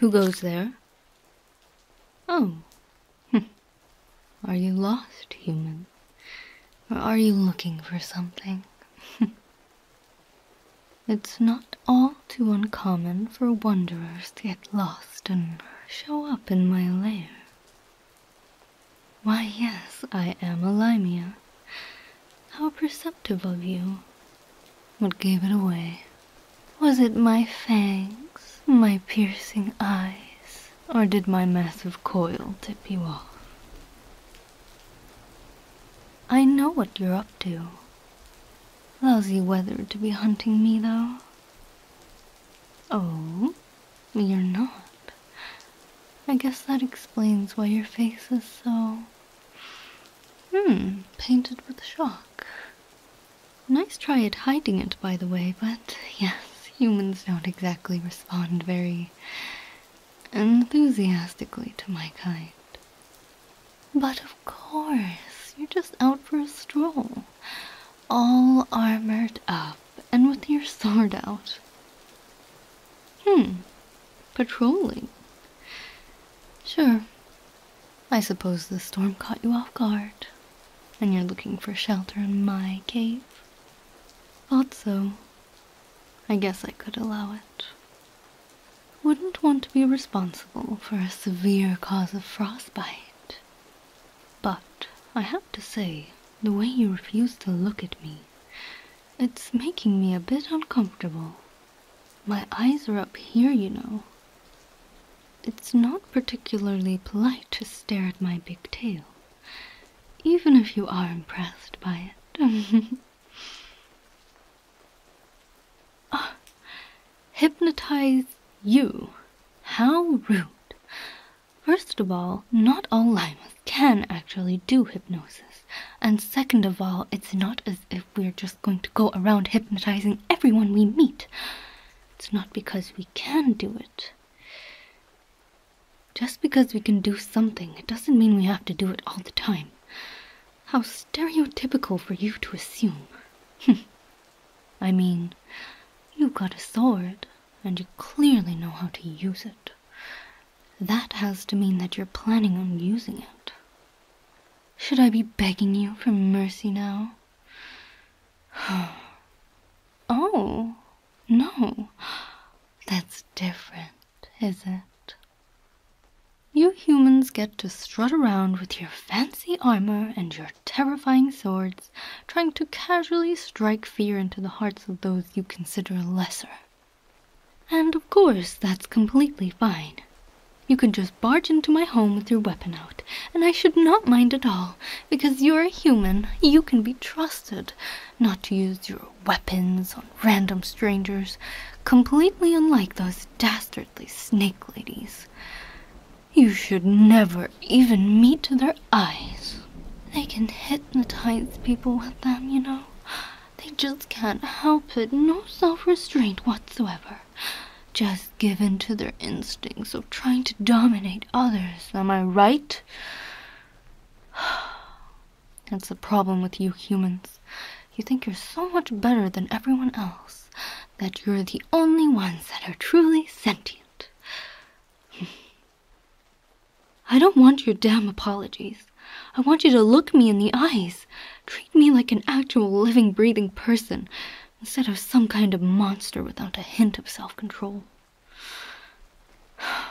Who goes there? Oh. Are you lost, human? are you looking for something? It's not all too uncommon for wanderers to get lost and show up in my lair. Why, yes, I am a Limia. How perceptive of you. What gave it away? Was it my fangs, my piercing eyes, or did my massive coil tip you off? I know what you're up to. Lousy weather to be hunting me, though. Oh, you're not. I guess that explains why your face is so. Hmm, painted with shock. Nice try at hiding it, by the way, but yes, humans don't exactly respond very enthusiastically to my kind. But of of course, you're just out for a stroll. All armored up and with your sword out. Hmm, patrolling. Sure, I suppose the storm caught you off guard, and you're looking for shelter in my cave. Thought so. I guess I could allow it wouldn't want to be responsible for a severe cause of frostbite. But I have to say, the way you refuse to look at me, it's making me a bit uncomfortable. My eyes are up here, you know. It's not particularly polite to stare at my big tail, even if you are impressed by it. Uh, hypnotize you? How rude. First of all, not all limas can actually do hypnosis. And second of all, it's not as if we're just going to go around hypnotizing everyone we meet. It's not because we can do it. Just because we can do something, it doesn't mean we have to do it all the time. How stereotypical for you to assume. I mean, you have got a sword, and you clearly know how to use it. That has to mean that you're planning on using it. Should I be begging you for mercy now? oh, no. That's different, is it? You humans get to strut around with your fancy fancy armor and your terrifying swords, trying to casually strike fear into the hearts of those you consider lesser. And of course, that's completely fine. You could just barge into my home with your weapon out, and I should not mind at all, because you're a human. You can be trusted not to use your weapons on random strangers, completely unlike those dastards dastardly snake ladies. You should never even meet their eyes. They can hypnotize people with them, you know. They just can't help it, no self restraint whatsoever. Just given to their instincts of trying to dominate others, am I right? That's the problem with you humans. You think you're so much better than everyone else that you're the only ones that are truly sentient. I don't want your damn apologies. I want you to look me in the eyes. Treat me like an actual living, breathing person instead of some kind of monster without a hint of self control.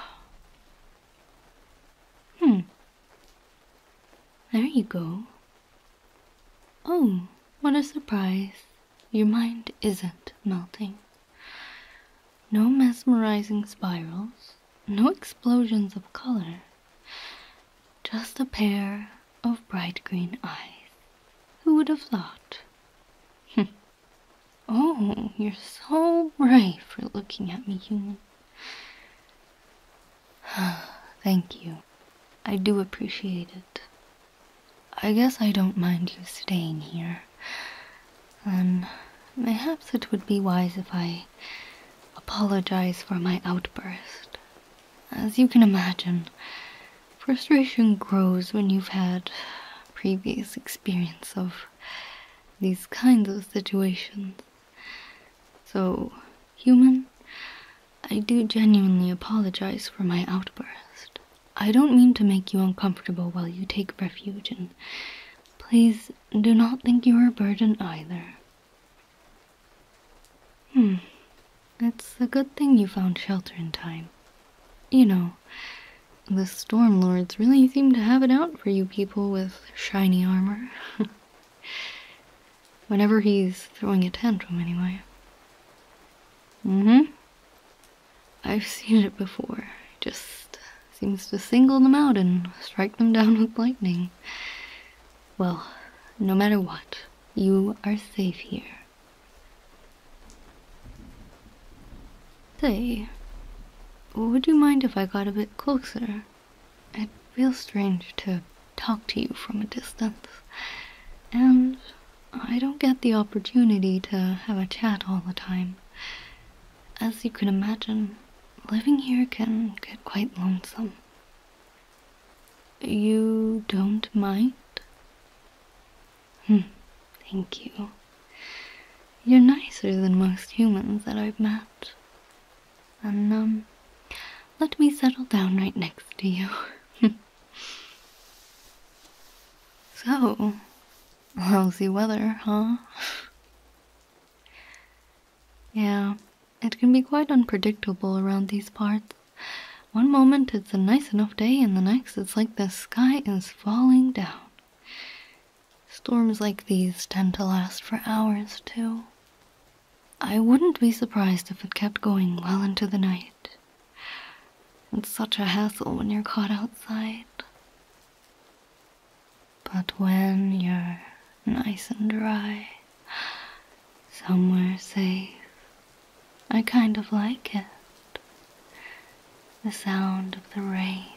hmm. There you go. Oh, what a surprise. Your mind isn't melting. No mesmerizing spirals, no explosions of color, just a pair of bright green eyes. Who would have thought? Hmm. oh, you're so brave for looking at me, human. Thank you. I do appreciate it. I guess I don't mind you staying here. and um, perhaps it would be wise if I apologize for my outburst. As you can imagine, frustration grows when you've had previous experience of these kinds of situations. So, human, I do genuinely apologize for my outburst. I don't mean to make you uncomfortable while you take refuge, and please do not think you're a burden either. Hmm, it's a good thing you found shelter in time. You know, the Storm Lords really seem to have it out for you people with shiny armor. Whenever he's throwing a tantrum, anyway. Mm hmm. I've seen it before. It just seems to single them out and strike them down with lightning. Well, no matter what, you are safe here. Say, would you mind if I got a bit closer? It feels strange to talk to you from a distance. And I don't get the opportunity to have a chat all the time. As you can imagine, living here can get quite lonesome. You don't mind? Hmm, thank you. You're nicer than most humans that I've met. And, um, let me settle down right next to you. So, lousy weather, huh? yeah, it can be quite unpredictable around these parts. One moment it's a nice enough day, and the next it's like the sky is falling down. Storms like these tend to last for hours, too. I wouldn't be surprised if it kept going well into the night. It's such a hassle when you're caught outside. But when you're nice and dry, somewhere safe, I kind of like it. The sound of the rain.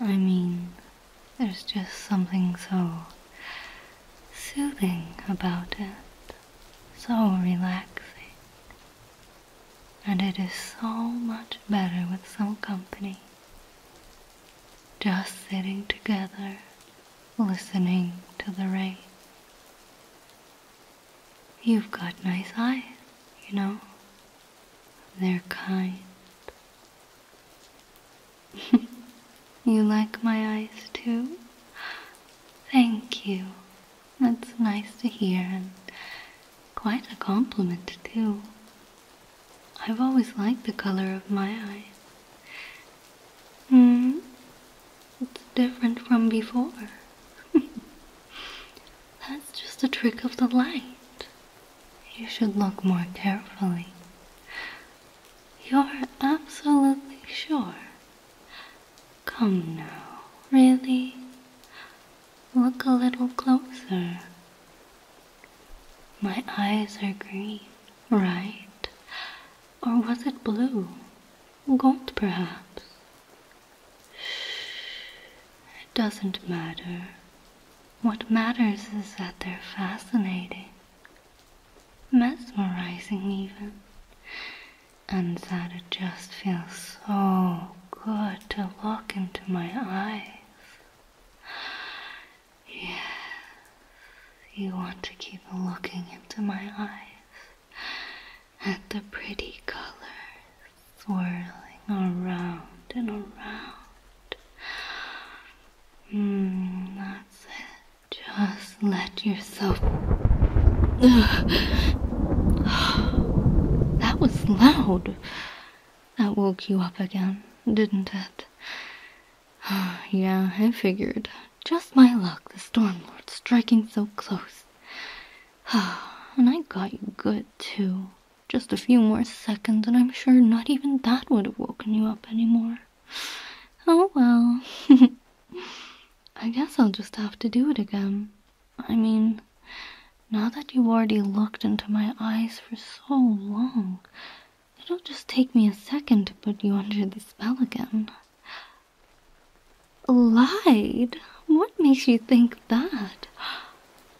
I mean, there's just something so soothing about it so relaxing, and it is so much better with some company. Just sitting together, listening to the rain. You've got nice eyes, you know. They're kind. you like my eyes too? Thank you. That's nice to hear and quite a compliment too. I've always liked the color of my eyes. Hmm, it's different from before. That's just a trick of the light. You should look more carefully. You're absolutely sure Come now, really? Look a little closer. My eyes are green, right? Or was it blue? Gold, perhaps? It doesn't matter. What matters is that they're fascinating, mesmerizing even and that it just feels so good to look into my eyes. Yes, you want to keep looking into my eyes at the pretty colors swirling around and around. Mm, that's it. Just let yourself. that was loud. That woke you up again, didn't it? yeah, I figured. Just my luck, the Stormlord striking so close. and I got you good, too. Just a few more seconds, and I'm sure not even that would have woken you up anymore. Oh well. I guess I'll just have to do it again. I mean, now that you've already looked into my eyes for so long, it'll just take me a second to put you under the spell again. Lied? What makes you think that?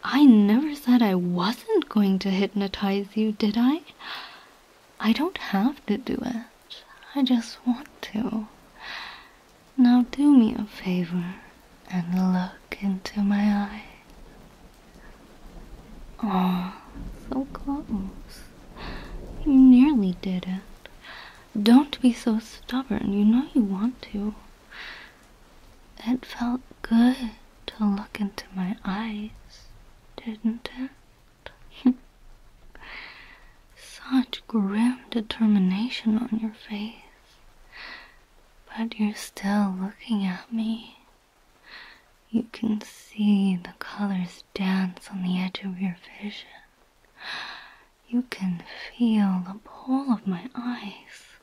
I never said I wasn't going to hypnotize you, did I? I don't have to do it. I just want to. Now do me a favor and look into my eyes. Oh, so close. You nearly did it. Don't be so stubborn. You know you want to. It felt good to look into my eyes, didn't it? Such grim determination on your face. But you're still looking at me. You can see the colors dance on the edge of your vision. You can feel the pull of my eyes.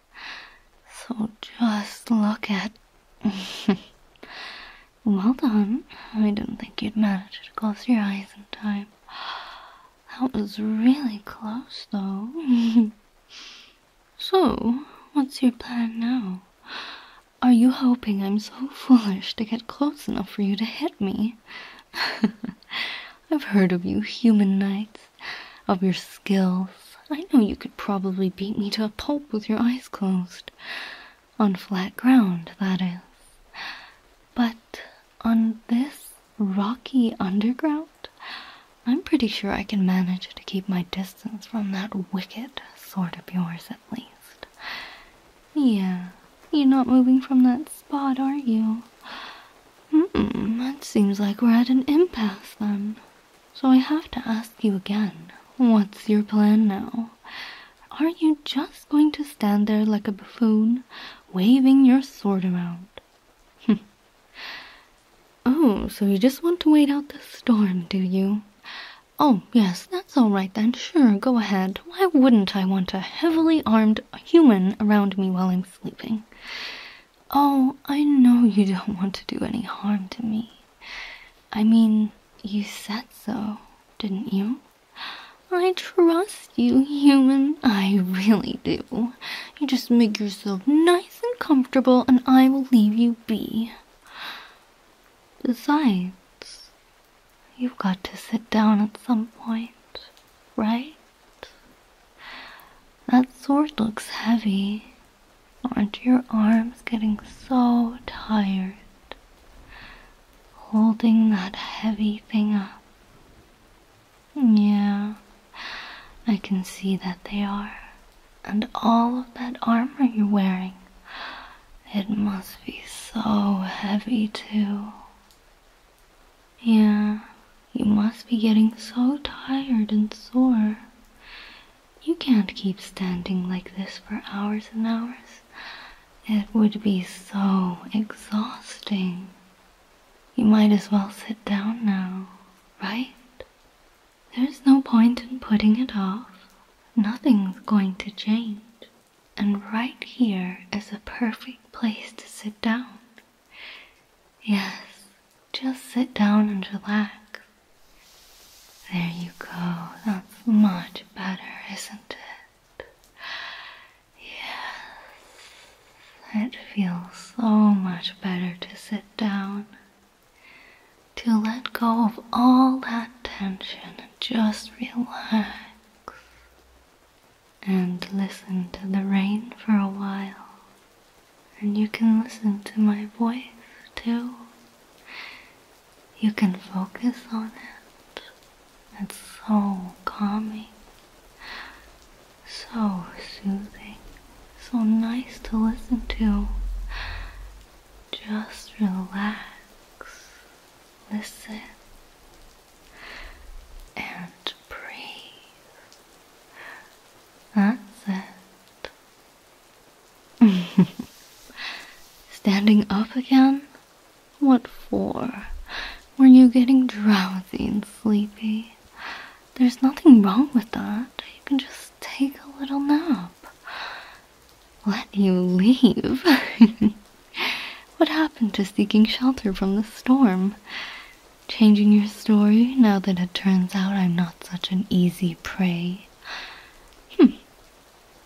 So just look at. well done. I didn't think you'd manage to close your eyes in time. That was really close, though. so, what's your plan now? Are you hoping I'm so foolish to get close enough for you to hit me? I've heard of you, human knights, of your skills. I know you could probably beat me to a pulp with your eyes closed. On flat ground, that is. But on this rocky underground? I'm pretty sure I can manage to keep my distance from that wicked sort of yours at least. Yeah, you're not moving from that spot, are you? Hmm. mm that seems like we're at an impasse then. So I have to ask you again, what's your plan now? Are you just going to stand there like a buffoon, waving your sword around. oh, so you just want to wait out the storm, do you? Oh, yes, that's all right then. Sure, go ahead. Why wouldn't I want a heavily armed human around me while I'm sleeping? Oh, I know you don't want to do any harm to me. I mean, you said so, didn't you? I trust you, human. I really do. You just make yourself nice and comfortable, and I will leave you be. Besides, you've got to sit down at some point, right? That sword looks heavy. Aren't your arms getting so tired? Holding that heavy thing up. Yeah, I can see that they are. And all of that armor you're wearing. It must be so heavy, too. Yeah, you must be getting so tired and sore. You can't keep standing like this for hours and hours. It would be so exhausting. You might as well sit down now, right? There's no point in putting it off. Nothing's going to change. And right here is a perfect place to sit down. Yes, just sit down and relax. There you go. That's much better, isn't it? Yes, it feels so much better to sit down, to let go of all that tension and just relax and listen to the rain for a while. And you can listen to my voice too. You can focus on it it's so calming, so soothing, so nice to listen to. Just relax, listen, and breathe. That's it. Standing up again? What for? Were you getting drowsy and sleepy? There's nothing wrong with that. You can just take a little nap. Let you leave. what happened to seeking shelter from the storm? Changing your story now that it turns out I'm not such an easy prey. Hm.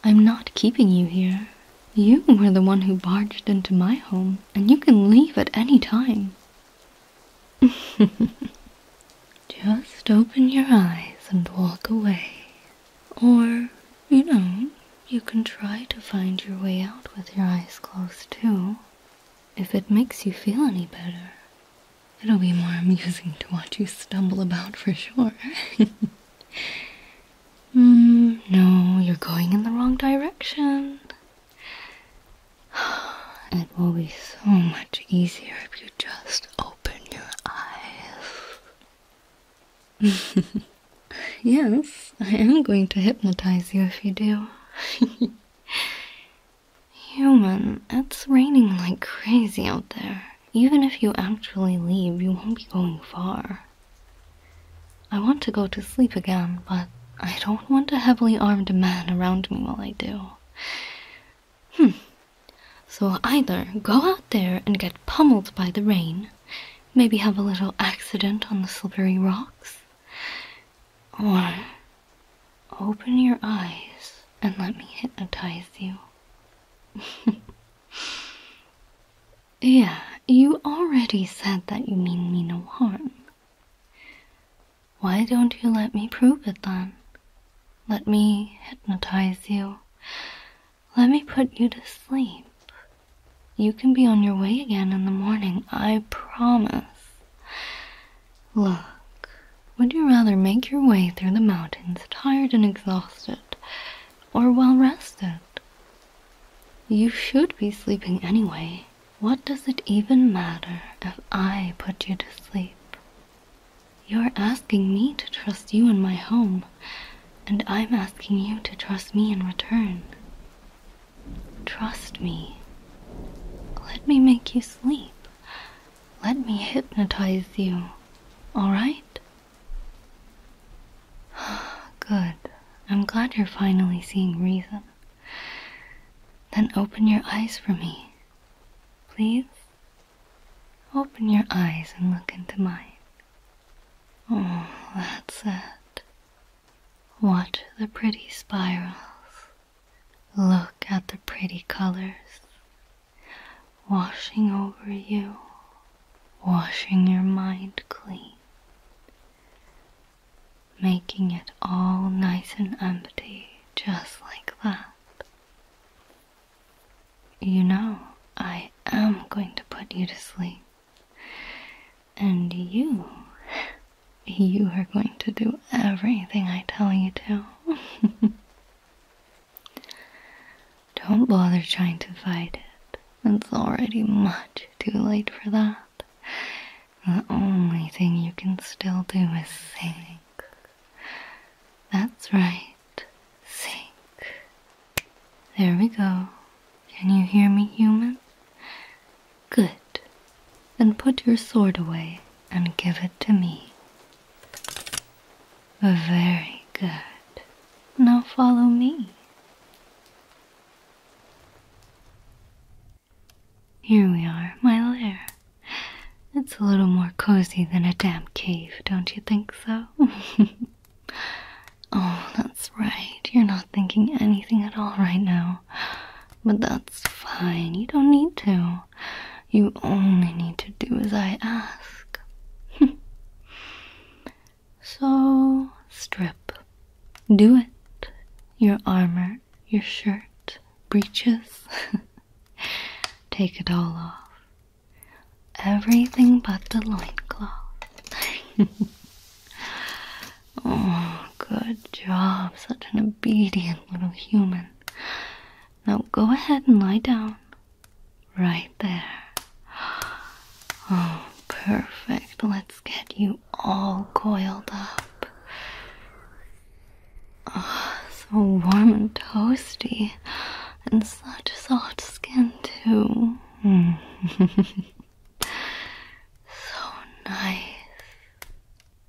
I'm not keeping you here. You were the one who barged into my home and you can leave at any time. Just open your eyes and walk away. Or, you know, you can try to find your way out with your eyes closed too. If it makes you feel any better, it'll be more amusing to watch you stumble about for sure. Hmm, no, you're going in the wrong direction. It will be so much easier if you just open your eyes. yes, I am going to hypnotize you if you do. Human, it's raining like crazy out there. Even if you actually leave, you won't be going far. I want to go to sleep again, but I don't want a heavily armed man around me while I do. Hmm. So either go out there and get pummeled by the rain, maybe have a little accident on the slippery rocks, or open your eyes and let me hypnotize you. yeah, you already said that you mean me no harm. Why don't you let me prove it then? Let me hypnotize you. Let me put you to sleep. You can be on your way again in the morning, I promise. Look, would you rather make your way through the mountains tired and exhausted, or well rested? You should be sleeping anyway. What does it even matter if I put you to sleep? You're asking me to trust you in my home, and I'm asking you to trust me in return. Trust me. Let me make you sleep. Let me hypnotize you, alright? Good. I'm glad you're finally seeing reason. Then open your eyes for me. Please? Open your eyes and look into mine. Oh, that's it. Watch the pretty spirals. Look at the pretty colors. Washing over you, washing your mind clean making it all nice and empty, just like that. You know, I am going to put you to sleep. And you, you are going to do everything I tell you to. Don't bother trying to fight it. It's already much too late for that. The only thing you can still do is sink. That's right, sink. There we go. Can you hear me, human? Good. Then put your sword away and give it to me. Very good. Now follow me. Here we are, my lair. It's a little more cozy than a damp cave, don't you think so? oh, that's right. You're not thinking anything at all right now. But that's fine. You don't need to. You only need to do as I ask. so, strip. Do it. Your armor your shirt, breeches. Take it all off. Everything but the loincloth. oh, good job. Such an obedient little human. Now go ahead and lie down. Right there. Oh, perfect. Let's get you all coiled up. Oh, so warm and toasty, and such soft skin, too. Hmm. so nice.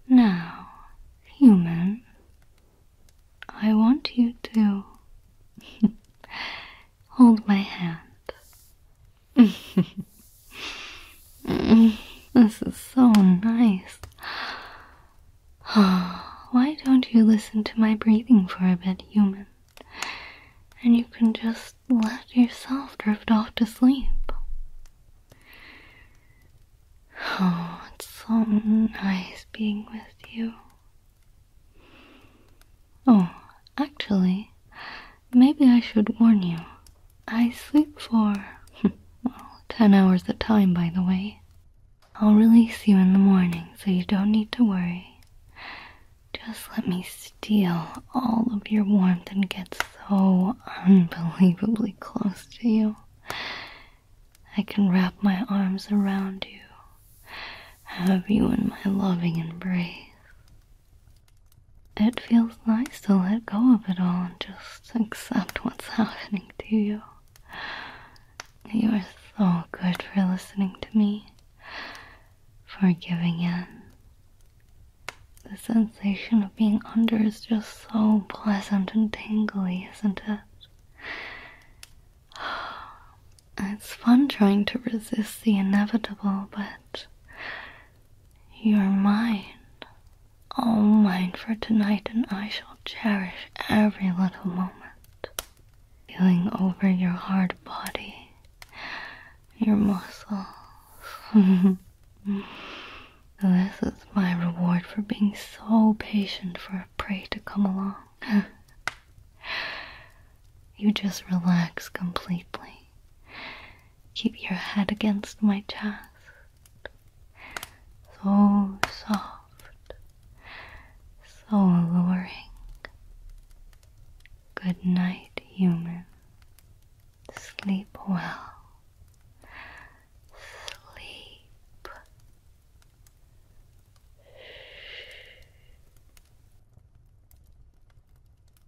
Now, human, I want you to hold my hand this is so nice. Why don't you listen to my breathing for a bit, human? And you can just let yourself drift off to sleep. Oh, it's so nice being with you. Oh, actually, Maybe I should warn you. I sleep for, well, ten hours at a time, by the way. I'll release you in the morning, so you don't need to worry. Just let me steal all of your warmth and get so unbelievably close to you. I can wrap my arms around you, have you in my loving embrace. It feels nice to let go of it all and just accept what's happening to you. You are so good for listening to me, for giving in. The sensation of being under is just so pleasant and tingly, isn't it? It's fun trying to resist the inevitable, but your mind all mine for tonight, and I shall cherish every little moment. Feeling over your hard body, your muscles. this is my reward for being so patient for a prey to come along. you just relax completely Keep your head against my chest. So soft, so alluring. Good night, human. Sleep well. Sleep.